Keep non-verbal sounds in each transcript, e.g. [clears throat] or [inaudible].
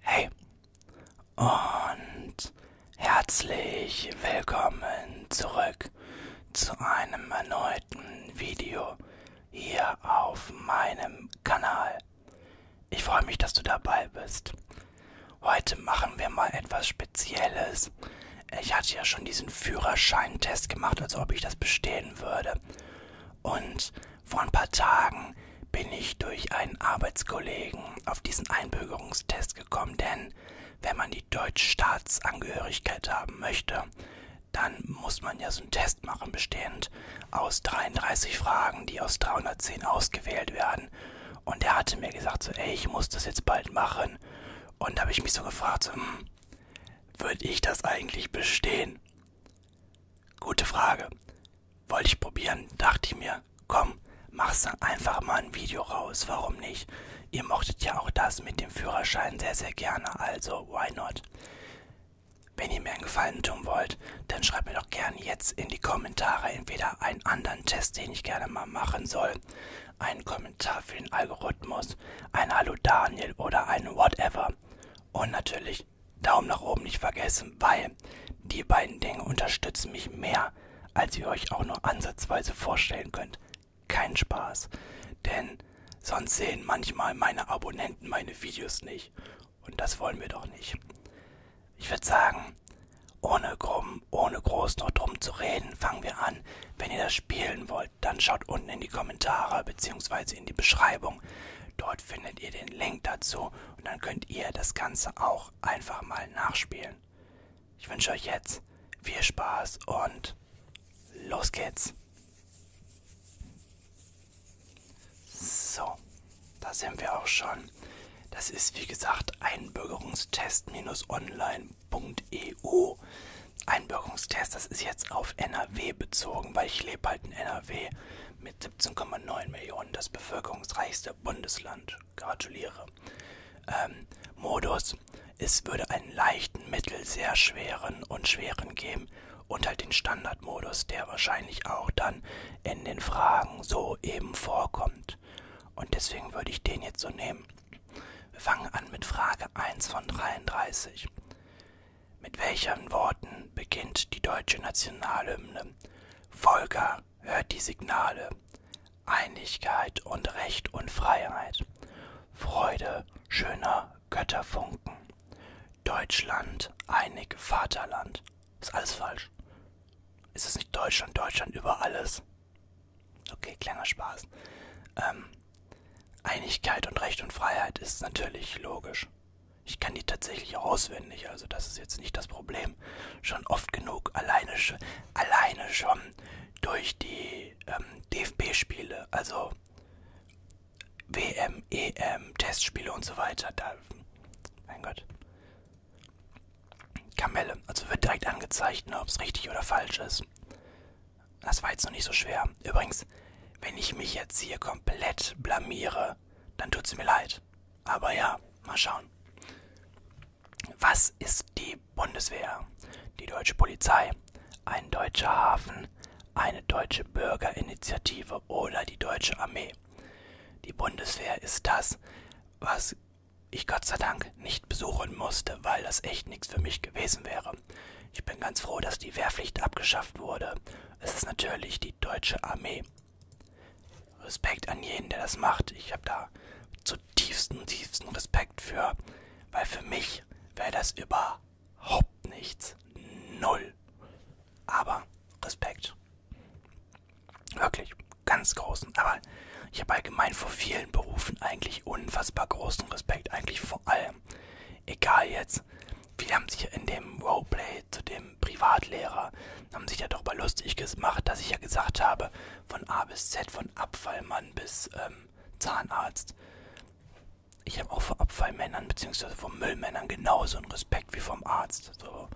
Hey und herzlich willkommen zurück zu einem erneuten Video hier auf meinem Kanal. Ich freue mich, dass du dabei bist. Heute machen wir mal etwas Spezielles. Ich hatte ja schon diesen Führerscheintest gemacht, als ob ich das bestehen würde. Und vor ein paar Tagen bin ich durch einen Arbeitskollegen auf diesen Einbürgerungstest gekommen, denn wenn man die deutsche Staatsangehörigkeit haben möchte, dann muss man ja so einen Test machen, bestehend aus 33 Fragen, die aus 310 ausgewählt werden. Und er hatte mir gesagt, so, ey, ich muss das jetzt bald machen. Und da habe ich mich so gefragt, so, hm, würde ich das eigentlich bestehen? Gute Frage. Wollte ich probieren, dachte ich mir, komm, mach's dann einfach mal ein Video raus, warum nicht? Ihr mochtet ja auch das mit dem Führerschein sehr, sehr gerne, also why not? Wenn ihr mir einen Gefallen tun wollt, dann schreibt mir doch gerne jetzt in die Kommentare entweder einen anderen Test, den ich gerne mal machen soll, einen Kommentar für den Algorithmus, ein Hallo Daniel oder ein Whatever. Und natürlich natürlich Daumen nach oben nicht vergessen, weil die beiden Dinge unterstützen mich mehr, als ihr euch auch nur ansatzweise vorstellen könnt. Kein Spaß, denn sonst sehen manchmal meine Abonnenten meine Videos nicht und das wollen wir doch nicht. Ich würde sagen, ohne grob, ohne groß noch drum zu reden, fangen wir an. Wenn ihr das spielen wollt, dann schaut unten in die Kommentare bzw. in die Beschreibung. Dort findet ihr den Link dazu und dann könnt ihr das Ganze auch einfach mal nachspielen. Ich wünsche euch jetzt viel Spaß und los geht's. So, da sind wir auch schon. Das ist wie gesagt einbürgerungstest-online.eu. Einbürgerungstest, das ist jetzt auf NRW bezogen, weil ich lebe halt in NRW mit 17,9 Millionen das bevölkerungsreichste Bundesland. Gratuliere. Ähm, Modus, es würde einen leichten, mittel, sehr schweren und schweren geben und halt den Standardmodus, der wahrscheinlich auch dann in den Fragen so eben vorkommt. Und deswegen würde ich den jetzt so nehmen. Wir fangen an mit Frage 1 von 33. Mit welchen Worten beginnt die deutsche Nationalhymne? Volker, hört die Signale. Einigkeit und Recht und Freiheit. Freude schöner Götterfunken. Deutschland, einig Vaterland. Ist alles falsch. Ist es nicht Deutschland, Deutschland über alles? Okay, kleiner Spaß. Ähm, Einigkeit und Recht und Freiheit ist natürlich logisch. Ich kann die tatsächlich auswendig, also das ist jetzt nicht das Problem. Schon oft genug, alleine, alleine schon durch die ähm, DFB-Spiele, also WM, EM, Testspiele und so weiter. Da, mein Gott. Kamelle, also wird direkt angezeigt, ne, ob es richtig oder falsch ist. Das war jetzt noch nicht so schwer. Übrigens, wenn ich mich jetzt hier komplett blamiere, äh, dann tut's mir leid. Aber ja, mal schauen. Was ist die Bundeswehr? Die deutsche Polizei, ein deutscher Hafen, eine deutsche Bürgerinitiative oder die deutsche Armee. Die Bundeswehr ist das, was ich Gott sei Dank nicht besuchen musste, weil das echt nichts für mich gewesen wäre. Ich bin ganz froh, dass die Wehrpflicht abgeschafft wurde. Es ist natürlich die die deutsche Armee. Respekt an jeden, der das macht. Ich habe da zutiefsten, tiefsten Respekt für, weil für mich wäre das überhaupt nichts. Null. Aber Respekt. Wirklich, ganz großen. Aber ich habe allgemein vor vielen Berufen eigentlich unfassbar großen Respekt. Eigentlich vor allem. Egal jetzt, viele haben sich in dem Roleplay zu dem Privatlehrer haben sich ja darüber lustig gemacht, dass ich ja gesagt habe, von A bis Z, von Abfallmann bis ähm, Zahnarzt. Ich habe auch vor Abfallmännern bzw. vor Müllmännern genauso einen Respekt wie vom Arzt. So.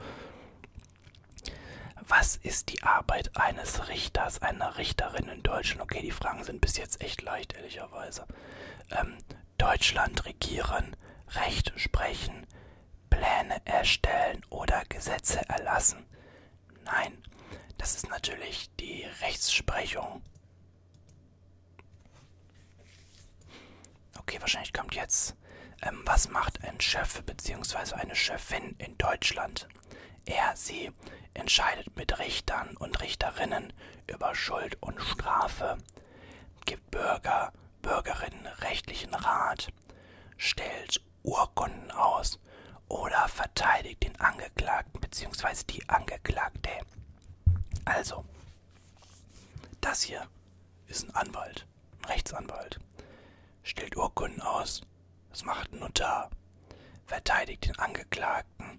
Was ist die Arbeit eines Richters, einer Richterin in Deutschland? Okay, die Fragen sind bis jetzt echt leicht, ehrlicherweise. Ähm, Deutschland regieren, Recht sprechen, Pläne erstellen oder Gesetze erlassen. Nein, das ist natürlich die Rechtsprechung. Okay, wahrscheinlich kommt jetzt, ähm, was macht ein Chef bzw. eine Chefin in Deutschland? Er, sie entscheidet mit Richtern und Richterinnen über Schuld und Strafe gibt Bürger, Bürgerinnen rechtlichen Rat, stellt Urkunden aus oder verteidigt den Angeklagten bzw. die Angeklagte. Also, das hier ist ein Anwalt, ein Rechtsanwalt, stellt Urkunden aus, das macht ein Notar, verteidigt den Angeklagten,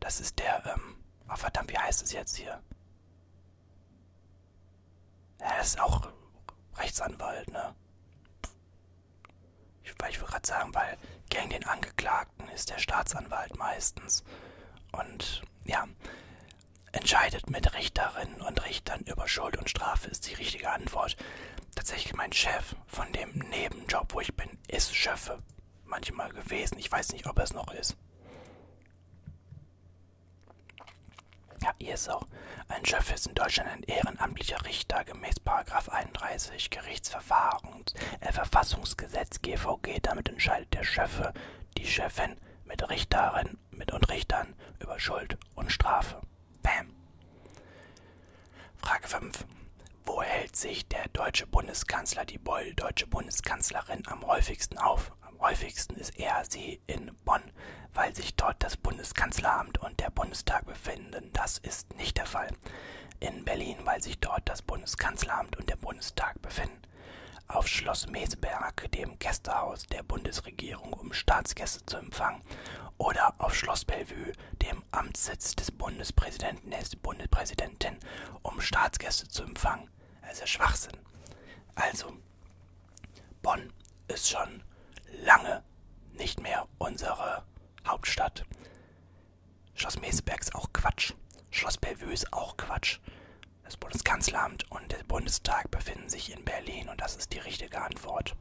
das ist der, ähm, oh verdammt, wie heißt es jetzt hier? Er ist auch Rechtsanwalt, ne? Ich, ich würde gerade sagen, weil gegen den Angeklagten ist der Staatsanwalt meistens. Und ja, entscheidet mit Richterinnen und Richtern über Schuld und Strafe ist die richtige Antwort. Tatsächlich mein Chef von dem Nebenjob, wo ich bin, ist Schöffe manchmal gewesen. Ich weiß nicht, ob er es noch ist. Ja, hier ist auch. Ein Chef ist in Deutschland ein ehrenamtlicher Richter gemäß 31 Gerichtsverfahrens, äh, Verfassungsgesetz GVG. Damit entscheidet der Chefe, die Chefin mit Richterinnen mit und Richtern über Schuld und Strafe. Bam. Frage 5. Wo hält sich der deutsche Bundeskanzler die Beul die deutsche Bundeskanzlerin am häufigsten auf. Am häufigsten ist er sie in Bonn, weil sich dort das Bundeskanzleramt und der Bundestag befinden. Das ist nicht der Fall. In Berlin, weil sich dort das Bundeskanzleramt und der Bundestag befinden. Auf Schloss Meseberg, dem Gästehaus der Bundesregierung, um Staatsgäste zu empfangen. Oder auf Schloss Bellevue, dem Amtssitz des Bundespräsidenten, der Bundespräsidentin, um Staatsgäste zu empfangen. Ordnung. Das ist ja Schwachsinn. Also, Bonn ist schon lange nicht mehr unsere Hauptstadt. Schloss Meseberg ist auch Quatsch. Schloss Bellevue ist auch Quatsch. Das Bundeskanzleramt und der Bundestag befinden sich in Berlin und das ist die richtige Antwort.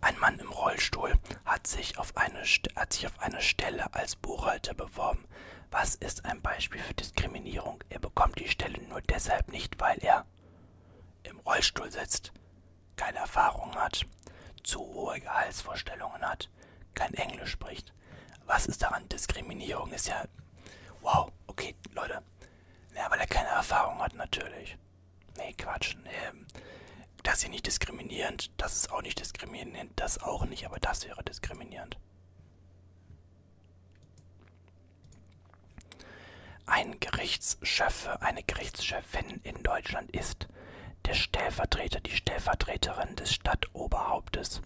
Ein Mann im Rollstuhl hat sich auf eine, hat sich auf eine Stelle als Buchhalter beworben. Was ist ein Beispiel für Diskriminierung? Er bekommt die Stelle nur deshalb nicht, weil er im Rollstuhl sitzt, keine Erfahrung hat, zu hohe Gehaltsvorstellungen hat, kein Englisch spricht. Was ist daran Diskriminierung? Ist ja. Wow, okay, Leute. Ja, weil er keine Erfahrung hat, natürlich. Nee, Quatsch. Nee. Ähm, das ist hier nicht diskriminierend. Das ist auch nicht diskriminierend. Nein, das auch nicht, aber das wäre diskriminierend. Ein Gerichtschef, eine Gerichtschefin in Deutschland ist der Stellvertreter, die Stellvertreterin des Stadtoberhauptes,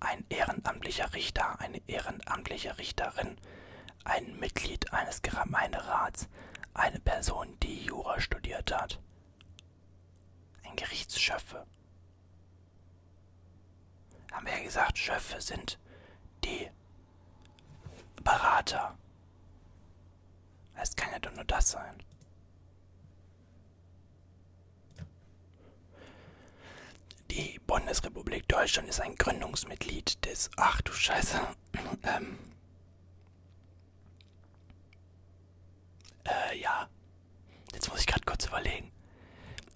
ein ehrenamtlicher Richter, eine ehrenamtliche Richterin, ein Mitglied eines Gemeinderats, eine Person, die Jura studiert hat. Ein Gerichtsschöffe. Haben wir ja gesagt, Schöffe sind die Berater. Es kann ja doch nur das sein. Die Bundesrepublik Deutschland ist ein Gründungsmitglied des. Ach du Scheiße. [clears throat] ähm. Äh, ja. Jetzt muss ich gerade kurz überlegen.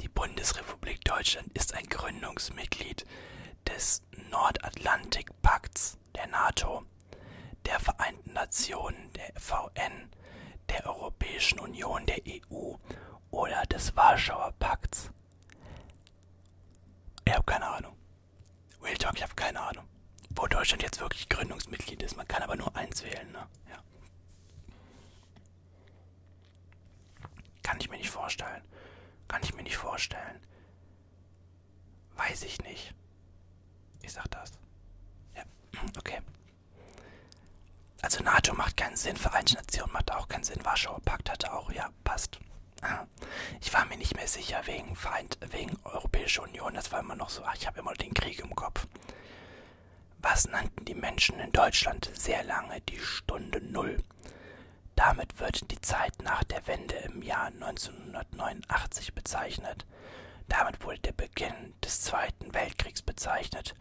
Die Bundesrepublik Deutschland ist ein Gründungsmitglied des Nordatlantikpakts der NATO, der Vereinten Nationen, der VN, der Europäischen Union, der EU oder des Warschauer Pakts. Ich habe keine Ahnung. Real Talk, ich habe keine Ahnung. Wo Deutschland jetzt wirklich Gründungsmitglied ist. Man kann aber nur eins wählen, ne? Ja. Kann ich mir nicht vorstellen. Kann ich mir nicht vorstellen. Weiß ich nicht. Ich sag das. Ja, [clears throat] okay. Also NATO macht keinen Sinn, Vereinten Nationen macht auch keinen Sinn, Warschauer Pakt hatte auch, ja, passt. Ich war mir nicht mehr sicher wegen, Vereint, wegen Europäische Union, das war immer noch so, ach, ich habe immer den Krieg im Kopf. Was nannten die Menschen in Deutschland sehr lange die Stunde Null? Damit wird die Zeit nach der Wende im Jahr 1989 bezeichnet. Damit wurde der Beginn des Zweiten Weltkriegs bezeichnet.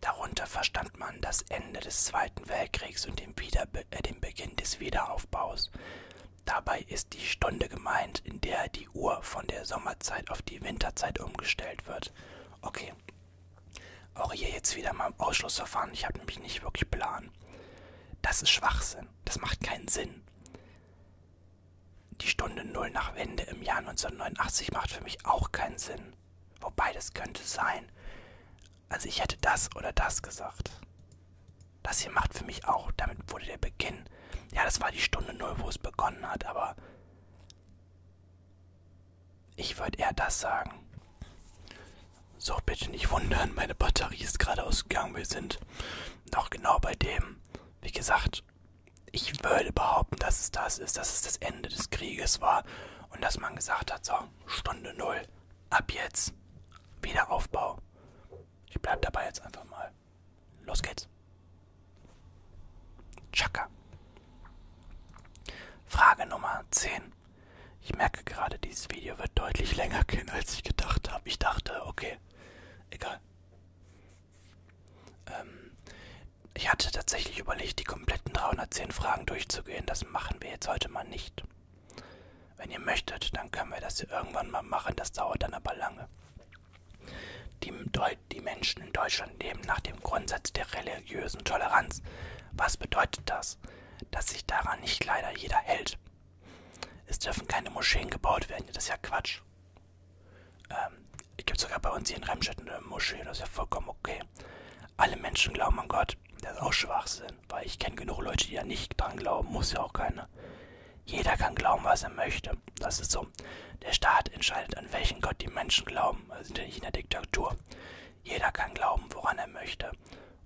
Darunter verstand man das Ende des Zweiten Weltkriegs und den, Wiederbe äh, den Beginn des Wiederaufbaus. Dabei ist die Stunde gemeint, in der die Uhr von der Sommerzeit auf die Winterzeit umgestellt wird. Okay. Auch hier jetzt wieder mal im Ausschlussverfahren. Ich habe nämlich nicht wirklich Plan. Das ist Schwachsinn. Das macht keinen Sinn. Die Stunde Null nach Wende im Jahr 1989 macht für mich auch keinen Sinn. Wobei das könnte sein. Also ich hätte das oder das gesagt. Das hier macht für mich auch. Damit wurde der Beginn beginnen. Ja, das war die Stunde null, wo es begonnen hat, aber ich würde eher das sagen. So, bitte nicht wundern, meine Batterie ist gerade ausgegangen. Wir sind noch genau bei dem. Wie gesagt, ich würde behaupten, dass es das ist, dass es das Ende des Krieges war und dass man gesagt hat, so, Stunde null, ab jetzt, Wiederaufbau. Ich bleib dabei jetzt einfach mal. Los geht's. Chaka. Frage Nummer 10. Ich merke gerade, dieses Video wird deutlich länger gehen, als ich gedacht habe. Ich dachte, okay, egal. Ähm, ich hatte tatsächlich überlegt, die kompletten 310 Fragen durchzugehen. Das machen wir jetzt heute mal nicht. Wenn ihr möchtet, dann können wir das hier irgendwann mal machen. Das dauert dann aber lange. Die, die Menschen in Deutschland leben nach dem Grundsatz der religiösen Toleranz. Was bedeutet das? Dass sich daran nicht leider jeder hält. Es dürfen keine Moscheen gebaut werden, das ist ja Quatsch. Ähm, gibt sogar bei uns hier in Remscheid eine Moschee, das ist ja vollkommen okay. Alle Menschen glauben an Gott, das ist auch Schwachsinn, weil ich kenne genug Leute, die ja nicht dran glauben, muss ja auch keiner. Jeder kann glauben, was er möchte. Kirche. Das ist so. Der Staat entscheidet, an welchen Gott die Menschen glauben. Wir sind ja nicht in der Diktatur. Jeder kann glauben, woran er möchte.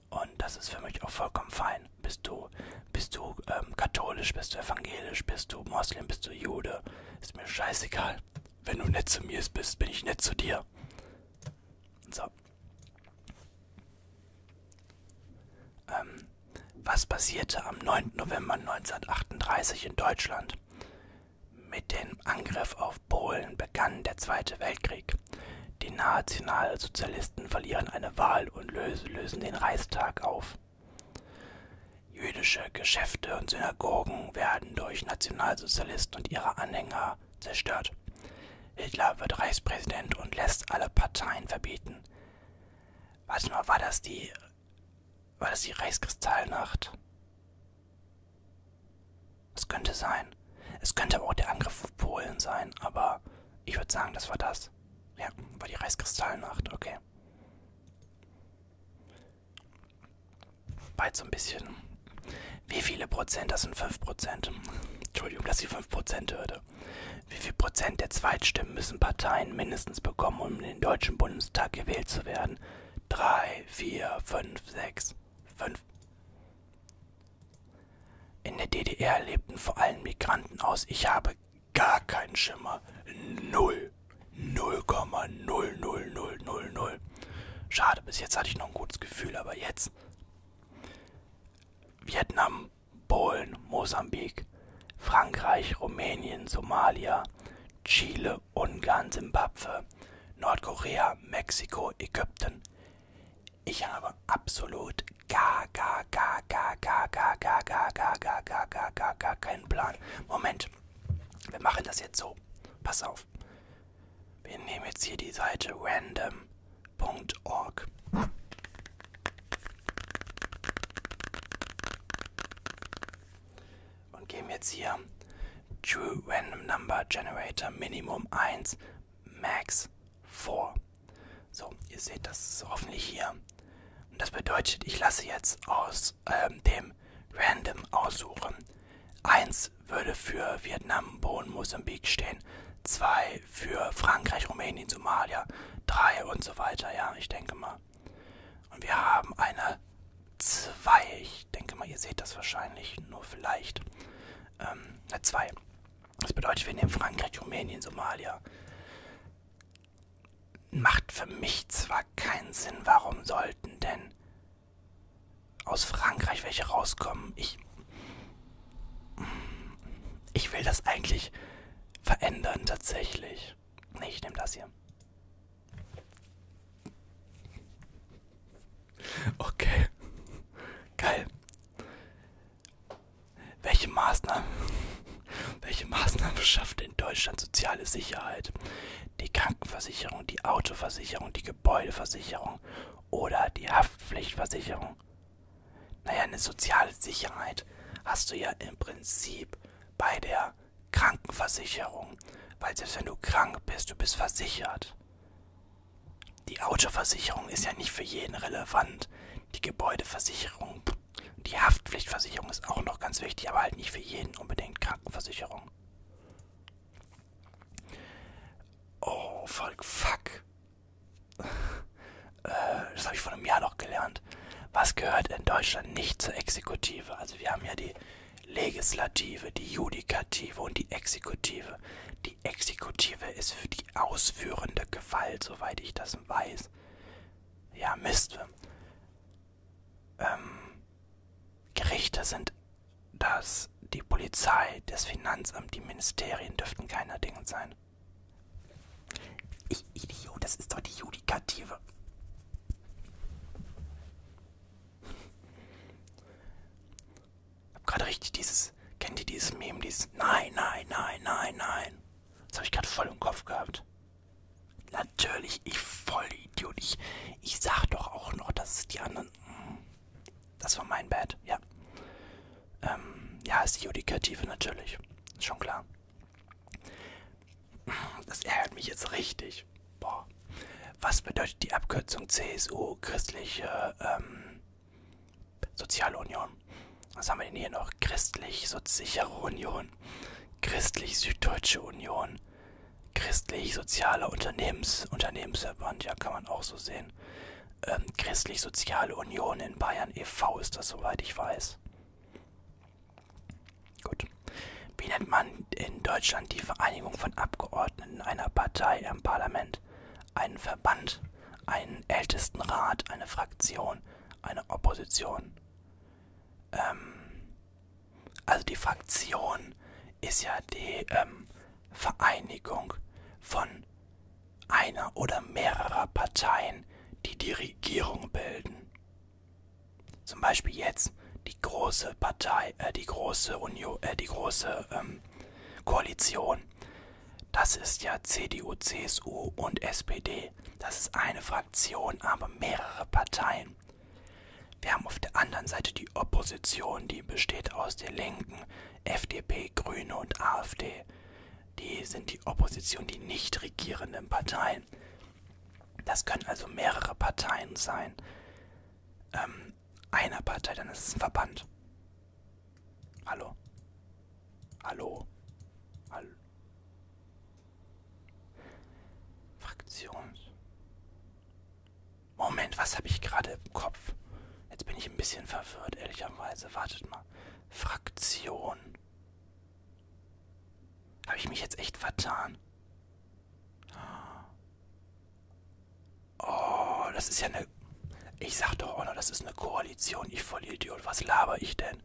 Und das ist für mich auch vollkommen fein. Bist du, bist du ähm, katholisch, bist du evangelisch, bist du Moslem, bist du Jude. Ist mir scheißegal. Wenn du nett zu mir bist, bin ich nett zu dir. So. Ähm, was passierte am 9. November 1938 in Deutschland? Mit dem Angriff auf Polen begann der Zweite Weltkrieg. Die Nationalsozialisten verlieren eine Wahl und lösen den Reichstag auf. Jüdische Geschäfte und Synagogen werden durch Nationalsozialisten und ihre Anhänger zerstört. Hitler wird Reichspräsident und lässt alle Parteien verbieten. Warte mal, war das die. War das die Reichskristallnacht? Das könnte sein. Es könnte aber auch der Angriff auf Polen sein, aber ich würde sagen, das war das. Ja, war die Reichskristallnacht, okay. Beides so ein bisschen. Wie viele Prozent? Das sind 5 Prozent. Entschuldigung, dass die 5 Prozent hörte. Wie viel Prozent der Zweitstimmen müssen Parteien mindestens bekommen, um in den Deutschen Bundestag gewählt zu werden? 3, 4, 5, 6, 5. In der DDR lebten vor allem Migranten aus. Ich habe gar keinen Schimmer. Null. 0,00000. Schade, bis jetzt hatte ich noch ein gutes Gefühl, aber jetzt. Vietnam Polen, Mosambik, Frankreich, Rumänien, Somalia, Chile, Ungarn, Simbabwe, Nordkorea, Mexiko, Ägypten. Ich habe absolut gar, gar, gar, gar, gar, gar, gar, gar, gar, gar, gar, gar, gar, gar keinen Plan. Moment, wir machen das jetzt so. Pass auf. Wir nehmen jetzt hier die Seite random www.ecom.org. Und geben jetzt hier True Random Number Generator Minimum 1, Max 4. So, ihr seht das hoffentlich hier. Und das bedeutet, ich lasse jetzt aus äh, dem Random aussuchen. 1 würde für Vietnam, Bohnen, Mosambik stehen. 2 2 für Frankreich, Rumänien, Somalia, 3 und so weiter, ja, ich denke mal. Und wir haben eine 2, ich denke mal, ihr seht das wahrscheinlich, nur vielleicht. Ähm, eine 2. Das bedeutet, wir nehmen Frankreich, Rumänien, Somalia. Macht für mich zwar keinen Sinn, warum sollten denn aus Frankreich welche rauskommen? Ich. Ich will das eigentlich verändern tatsächlich. Nee, ich nehme das hier. Okay. Geil. Welche Maßnahmen, [laughs] welche Maßnahmen schafft in Deutschland soziale Sicherheit? Die Krankenversicherung, die Autoversicherung, die Gebäudeversicherung oder die Haftpflichtversicherung? Naja, eine soziale Sicherheit hast du ja im Prinzip bei der Krankenversicherung, weil selbst wenn du krank bist, du bist versichert. Die Autoversicherung ist ja nicht für jeden relevant. Die Gebäudeversicherung, die Haftpflichtversicherung ist auch noch ganz wichtig, aber halt nicht für jeden unbedingt Krankenversicherung. Oh, voll fuck. Äh, das habe ich vor einem Jahr noch gelernt. Was gehört in Deutschland nicht zur Exekutive? Also wir haben ja die Legislative, die Judikative und die Exekutive. Die Exekutive ist für die ausführende Gewalt, soweit ich das weiß. Ja, Mist. Ähm, Gerichte sind das, die Polizei, das Finanzamt, die Ministerien dürften keiner Dinge sein. Ich Idiot, das ist doch die Judikative. Hab gerade richtig dieses. Kennt ihr dieses Meme? Dieses. Nein, nein, nein, nein, nein. Das habe ich gerade voll im Kopf gehabt. Natürlich, ich voll Idiot. Ich, ich sag doch auch noch, dass es die anderen. Hm, das war mein Bad, ja ähm, ja, ist die Judikative natürlich. Ist schon klar. Das ärgert mich jetzt richtig. Boah. Was bedeutet die Abkürzung CSU, christliche ähm, Soziale Union? Was haben wir denn hier noch? Christlich-Sichere Union, Christlich-Süddeutsche Union, Christlich-Sozialer Unternehmens Unternehmensverband, ja, kann man auch so sehen ähm, Christlich-Soziale Union in Bayern e.V. ist das, soweit ich weiß. Gut. Wie nennt man in Deutschland die Vereinigung von Abgeordneten einer Partei im Parlament? Einen Verband, einen Ältestenrat, eine Fraktion, eine Opposition. Ähm, also die Fraktion ist ja die ähm, Vereinigung von einer oder mehrerer Parteien, die die Regierung bilden. Zum Beispiel jetzt die große Partei, äh, die große Union, äh, die große ähm, Koalition. Das ist ja CDU, CSU und SPD. Das ist eine Fraktion, aber mehrere Parteien. Wir haben auf der anderen Seite die Opposition, die besteht aus der Linken, FDP, Grüne und AfD die sind die Opposition, die nicht regierenden Parteien. Das können also mehrere Parteien sein. Ähm, einer Partei, dann ist es ein Verband. Hallo. Hallo. Hallo. Fraktions. Moment, was habe ich gerade im Kopf? Jetzt bin ich ein bisschen verwirrt, ehrlicherweise. Wartet mal. Fraktion. Habe ich mich jetzt echt vertan? Oh, das ist ja eine... Ich sag doch auch noch, das ist eine Koalition. Ich Vollidiot. Was laber ich denn?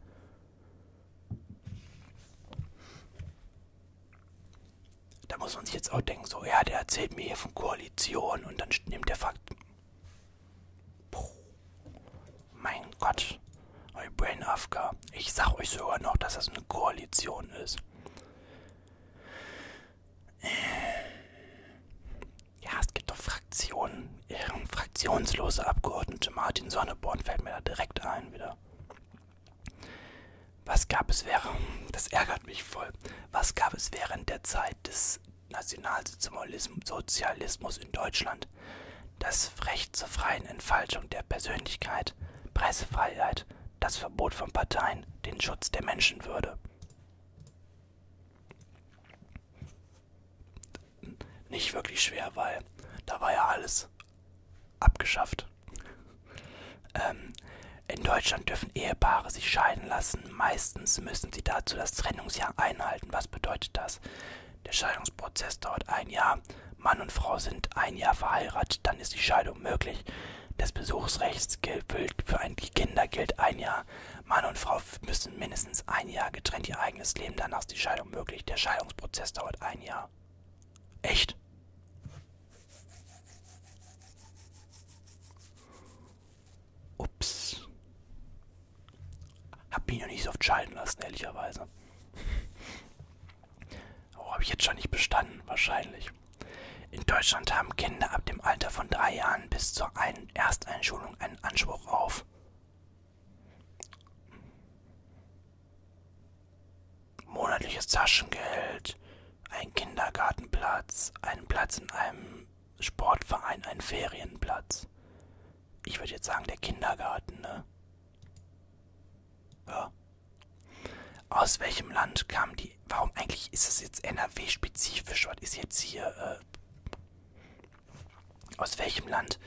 Da muss man sich jetzt auch denken, so, ja, der erzählt mir hier von Koalition und dann nimmt der Fakt... Puh. Mein Gott. Brain Afka. Ich sag euch sogar noch, dass das eine Koalition ist. Ja, es gibt doch Fraktionen. Ähm, fraktionslose Abgeordnete Martin Sonneborn fällt mir da direkt ein wieder. Was gab es während, das ärgert mich voll, was gab es während der Zeit des Nationalsozialismus in Deutschland, das Recht zur freien Entfaltung der Persönlichkeit, Pressefreiheit, das Verbot von Parteien, den Schutz der Menschenwürde. Nicht wirklich schwer, weil da war ja alles abgeschafft. Ähm, in Deutschland dürfen Ehepaare sich scheiden lassen lassen. Meistens müssen sie dazu das Trennungsjahr einhalten. Was bedeutet das? Der Scheidungsprozess dauert ein Jahr. Mann und Frau sind ein Jahr verheiratet, dann ist die Scheidung möglich. Das Besuchsrecht gilt für die Kinder gilt ein Jahr. Mann und Frau müssen mindestens ein Jahr getrennt ihr eigenes Leben, danach ist die Scheidung möglich. Der Scheidungsprozess dauert ein Jahr. Echt? Ups. Hab mich noch nicht so oft schalten lassen, ehrlicherweise. Oh, [laughs] habe ich jetzt schon nicht bestanden, wahrscheinlich. In Deutschland haben Kinder ab dem Alter von drei Jahren bis zur ein Ersteinschulung einen Anspruch auf. Monatliches Taschengeld, einen Kindergartenplatz, einen Platz in einem Sportverein ein Ferienplatz. Ich würde jetzt sagen, der Kindergarten, ne? Ja. Aus welchem Land kam die. Warum eigentlich ist es jetzt NRW-spezifisch? Was ist jetzt hier. Äh, aus welchem Land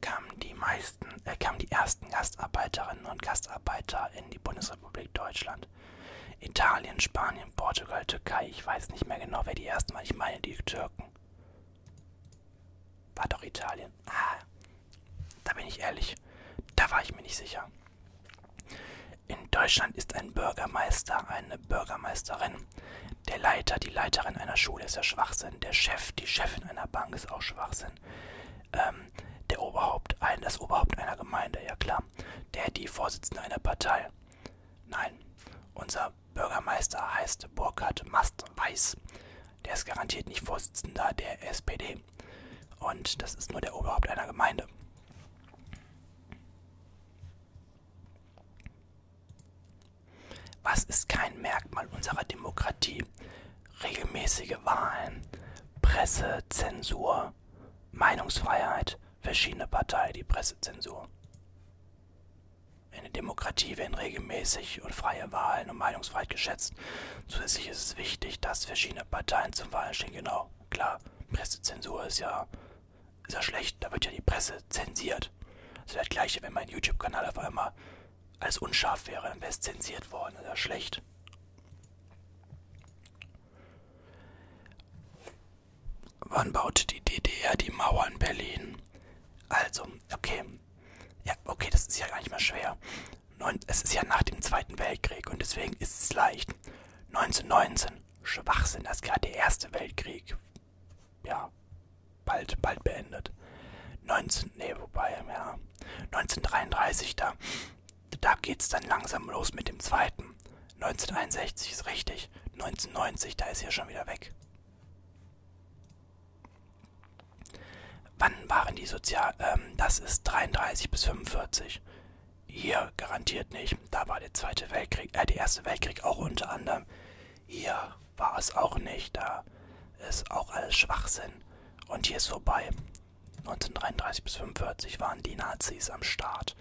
kamen die meisten. Äh, kamen die ersten Gastarbeiterinnen und Gastarbeiter in die Bundesrepublik Deutschland? sind. Italien, Spanien, Portugal, Türkei. Ich weiß nicht mehr genau, wer die ersten waren. Ich meine die Türken. War doch Italien. Ah, da bin ich ehrlich. Da war ich mir nicht sicher. In Deutschland ist ein Bürgermeister eine Bürgermeisterin. Der Leiter, die Leiterin einer Schule ist ja Schwachsinn. Der Chef, die Chefin einer Bank ist auch Schwachsinn. Ähm, der Oberhaupt, ein, das Oberhaupt einer Gemeinde, ja klar. Der, die Vorsitzende einer Partei. Nein, unser Bürgermeister heißt Burkhard Mast-Weiß. Der ist garantiert nicht Vorsitzender der SPD. Und das ist nur der Oberhaupt einer Gemeinde. Was ist kein Merkmal unserer Demokratie? Regelmäßige Wahlen, Presse, Zensur, Meinungsfreiheit, verschiedene Parteien die Pressezensur. Eine Demokratie werden regelmäßig und freie Wahlen und Meinungsfreiheit geschätzt. Zusätzlich ist es wichtig, dass verschiedene Parteien zum Wahlen stehen. Genau, klar, Pressezensur ist ja, ist ja schlecht, da wird ja die Presse zensiert. Das wäre das gleiche, wenn mein YouTube-Kanal auf einmal als unscharf wäre, dann wäre es zensiert worden, das ist ja schlecht. Wann baute die DDR die Mauer in Berlin? Also, okay. Ja, okay, das ist ja gar nicht mal schwer. Neun, es ist ja nach dem Zweiten Weltkrieg und deswegen ist es leicht. 1919, Schwachsinn, das ist gerade der Erste Weltkrieg. Ja, bald, bald beendet. 19, nee, wobei, ja. 1933, da da geht's dann langsam los mit dem zweiten. 1961 ist richtig. 1990, da ist er schon wieder weg. Wann waren die sozial? Ähm, das ist 33 bis 45. Hier garantiert nicht. Da war der Zweite Weltkrieg, äh, der Erste Weltkrieg auch unter anderem. Hier war es auch nicht. Da ist auch alles Schwachsinn. Und hier ist vorbei. 1933 bis 45 waren die Nazis am Start.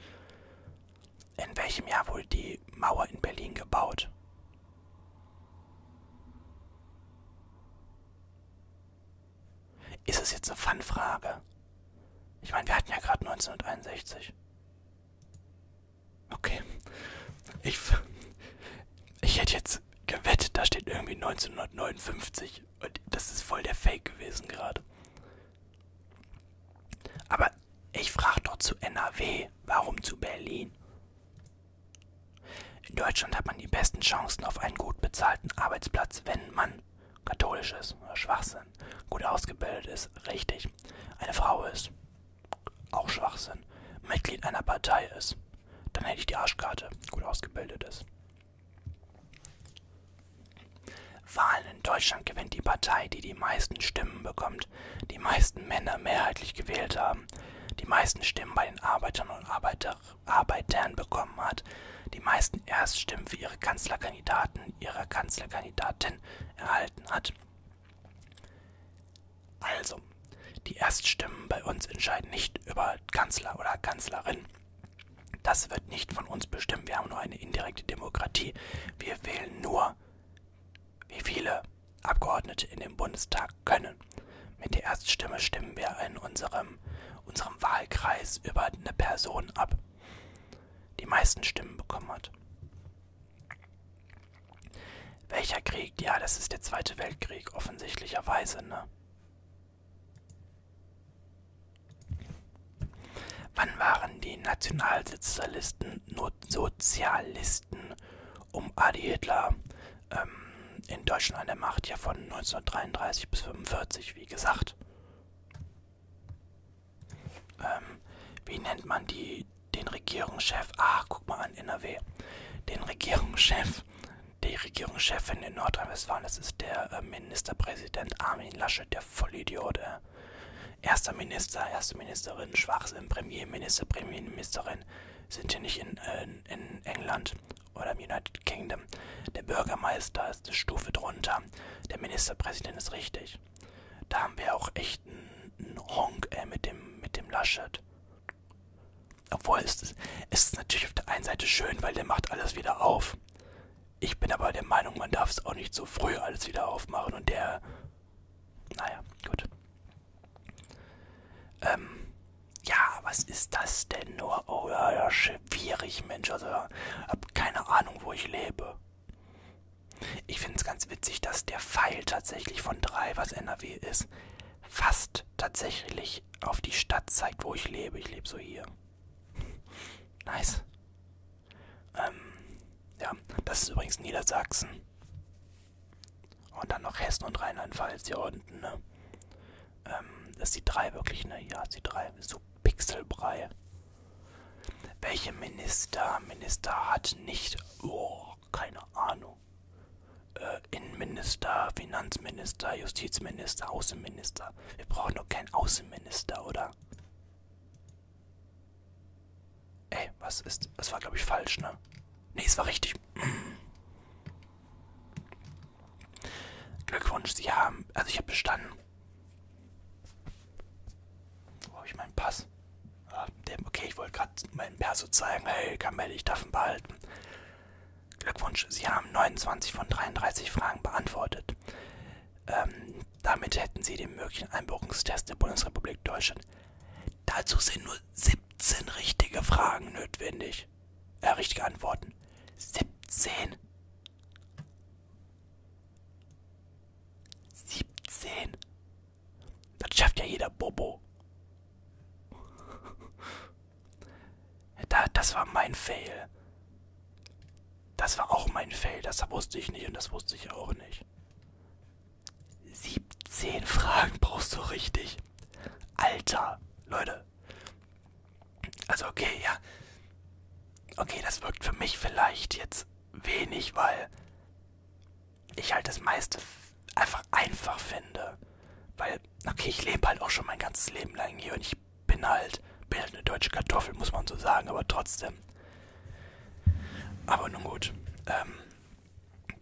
In welchem Jahr wurde die Mauer in Berlin gebaut? Ist es jetzt eine Fanfrage? Ich meine, wir hatten ja gerade 1961. Okay. Ich, ich hätte jetzt gewettet, da steht irgendwie 1959. Und das ist voll der Fake gewesen gerade. Aber ich frage doch zu NRW, warum zu Berlin? In Deutschland hat man die besten Chancen auf einen gut bezahlten Arbeitsplatz, wenn man katholisch ist, Schwachsinn, gut ausgebildet ist, richtig, eine Frau ist, auch Schwachsinn, Mitglied einer Partei ist, dann hätte ich die Arschkarte, gut ausgebildet ist. Wahlen in Deutschland gewinnt die Partei, die die meisten Stimmen bekommt, die meisten Männer mehrheitlich gewählt haben, die meisten Stimmen bei den Arbeitern und Arbeiter, Arbeitern bekommen hat, die meisten Erststimmen für ihre Kanzlerkandidaten, ihre Kanzlerkandidatin erhalten hat. Also, die Erststimmen bei uns entscheiden nicht über Kanzler oder Kanzlerin, das wird nicht von uns bestimmt. Wir haben nur eine indirekte Demokratie. Wir wählen nur, wie viele Abgeordnete in den Bundestag können. Mit der Erststimme stimmen wir in unserem, unserem Wahlkreis über eine Person ab, die meisten Stimmen bekommen hat. Welcher Krieg? Ja, das ist der Zweite Weltkrieg, offensichtlicherweise, ne? Wann waren die Nationalsozialisten Sozialisten um Adi Hitler ähm, in Deutschland an der Macht? Ja, von 1933 bis 1945, wie gesagt. Ähm, wie nennt man die, den Regierungschef? Ach, guck mal an, NRW. Den Regierungschef, die Regierungschefin in Nordrhein-Westfalen, das ist der äh, Ministerpräsident Armin Laschet der Vollidiote. Äh, erster Minister, erste Ministerin, Schwachsinn, Premierminister, Premierministerin sind hier nicht in, äh, in England oder im United Kingdom. Der Bürgermeister ist eine Stufe drunter. Der Ministerpräsident ist richtig. Da haben wir auch echt einen Honk äh, mit, dem, mit dem Laschet. Obwohl, es ist, es ist natürlich auf der einen Seite schön, weil der macht alles wieder auf. Ich bin aber der Meinung, man darf es auch nicht so früh alles wieder aufmachen und der. Naja, gut. Ähm, ja, was ist das denn nur? Oh ja, ja, schwierig, Mensch. Also, hab keine Ahnung, wo ich lebe. Ich finde es ganz witzig, dass der Pfeil tatsächlich von 3, was NRW ist, fast tatsächlich auf die Stadt zeigt, wo ich lebe. Ich lebe so hier. [laughs] Nice. Ähm, ja, das ist übrigens Niedersachsen. Und dann noch Hessen und Rheinland-Pfalz hier unten, ne? Ähm, das ist die 3 wirklich, ne? Ja, die 3 ist so Pixelbrei. Welche Minister, Minister hat nicht, oh, keine Ahnung. Äh, Innenminister, Finanzminister, Justizminister, Außenminister. Minister. Wir brauchen doch keinen Außenminister, oder? Ey, was ist. Das war, glaube ich, falsch, ne? Nee, es war richtig. Glückwunsch, Sie haben. Also, ich habe bestanden. Wo habe ich meinen Pass? Ah, der, okay, ich wollte gerade meinen Perso zeigen. Hey, Kamelle, ich darf ihn behalten. Glückwunsch, Sie haben 29 von 33 Fragen beantwortet. Ähm, damit hätten Sie den möglichen Einbürgerungstest der Bundesrepublik Deutschland. Dazu sind nur 17 richtige Fragen notwendig. Äh, richtige Antworten. 17? 17? Das schafft ja jeder Bobo. Da, das war mein Fail. Das war auch mein Fail. Das wusste ich nicht und das wusste ich auch nicht. 17 Fragen brauchst du richtig. Alter, Leute. Also okay, ja. Okay, das wirkt für mich vielleicht jetzt wenig, weil ich halt das meiste einfach einfach finde. Weil okay, ich lebe halt auch schon mein ganzes Leben lang hier und ich bin halt, bin halt eine deutsche Kartoffel, muss man so sagen, aber trotzdem. Aber nun gut, ähm,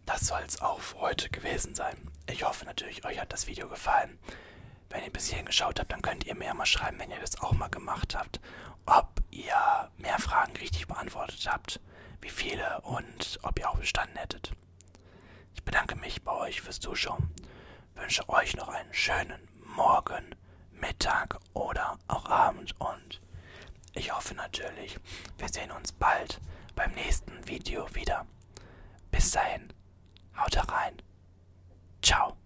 das soll es auch für heute gewesen sein. Ich hoffe natürlich, euch hat das Video gefallen. Wenn ihr bis hierhin geschaut habt, dann könnt ihr mir mal schreiben, wenn ihr das auch mal gemacht habt, ob ihr mehr Fragen richtig beantwortet habt, wie viele und ob ihr auch bestanden hättet. Ich bedanke mich bei euch fürs Zuschauen wünsche euch noch einen schönen Morgen, Mittag oder auch Abend und ich hoffe natürlich, wir sehen uns bald beim nächsten Video wieder. Bis dahin, haut rein. Ciao.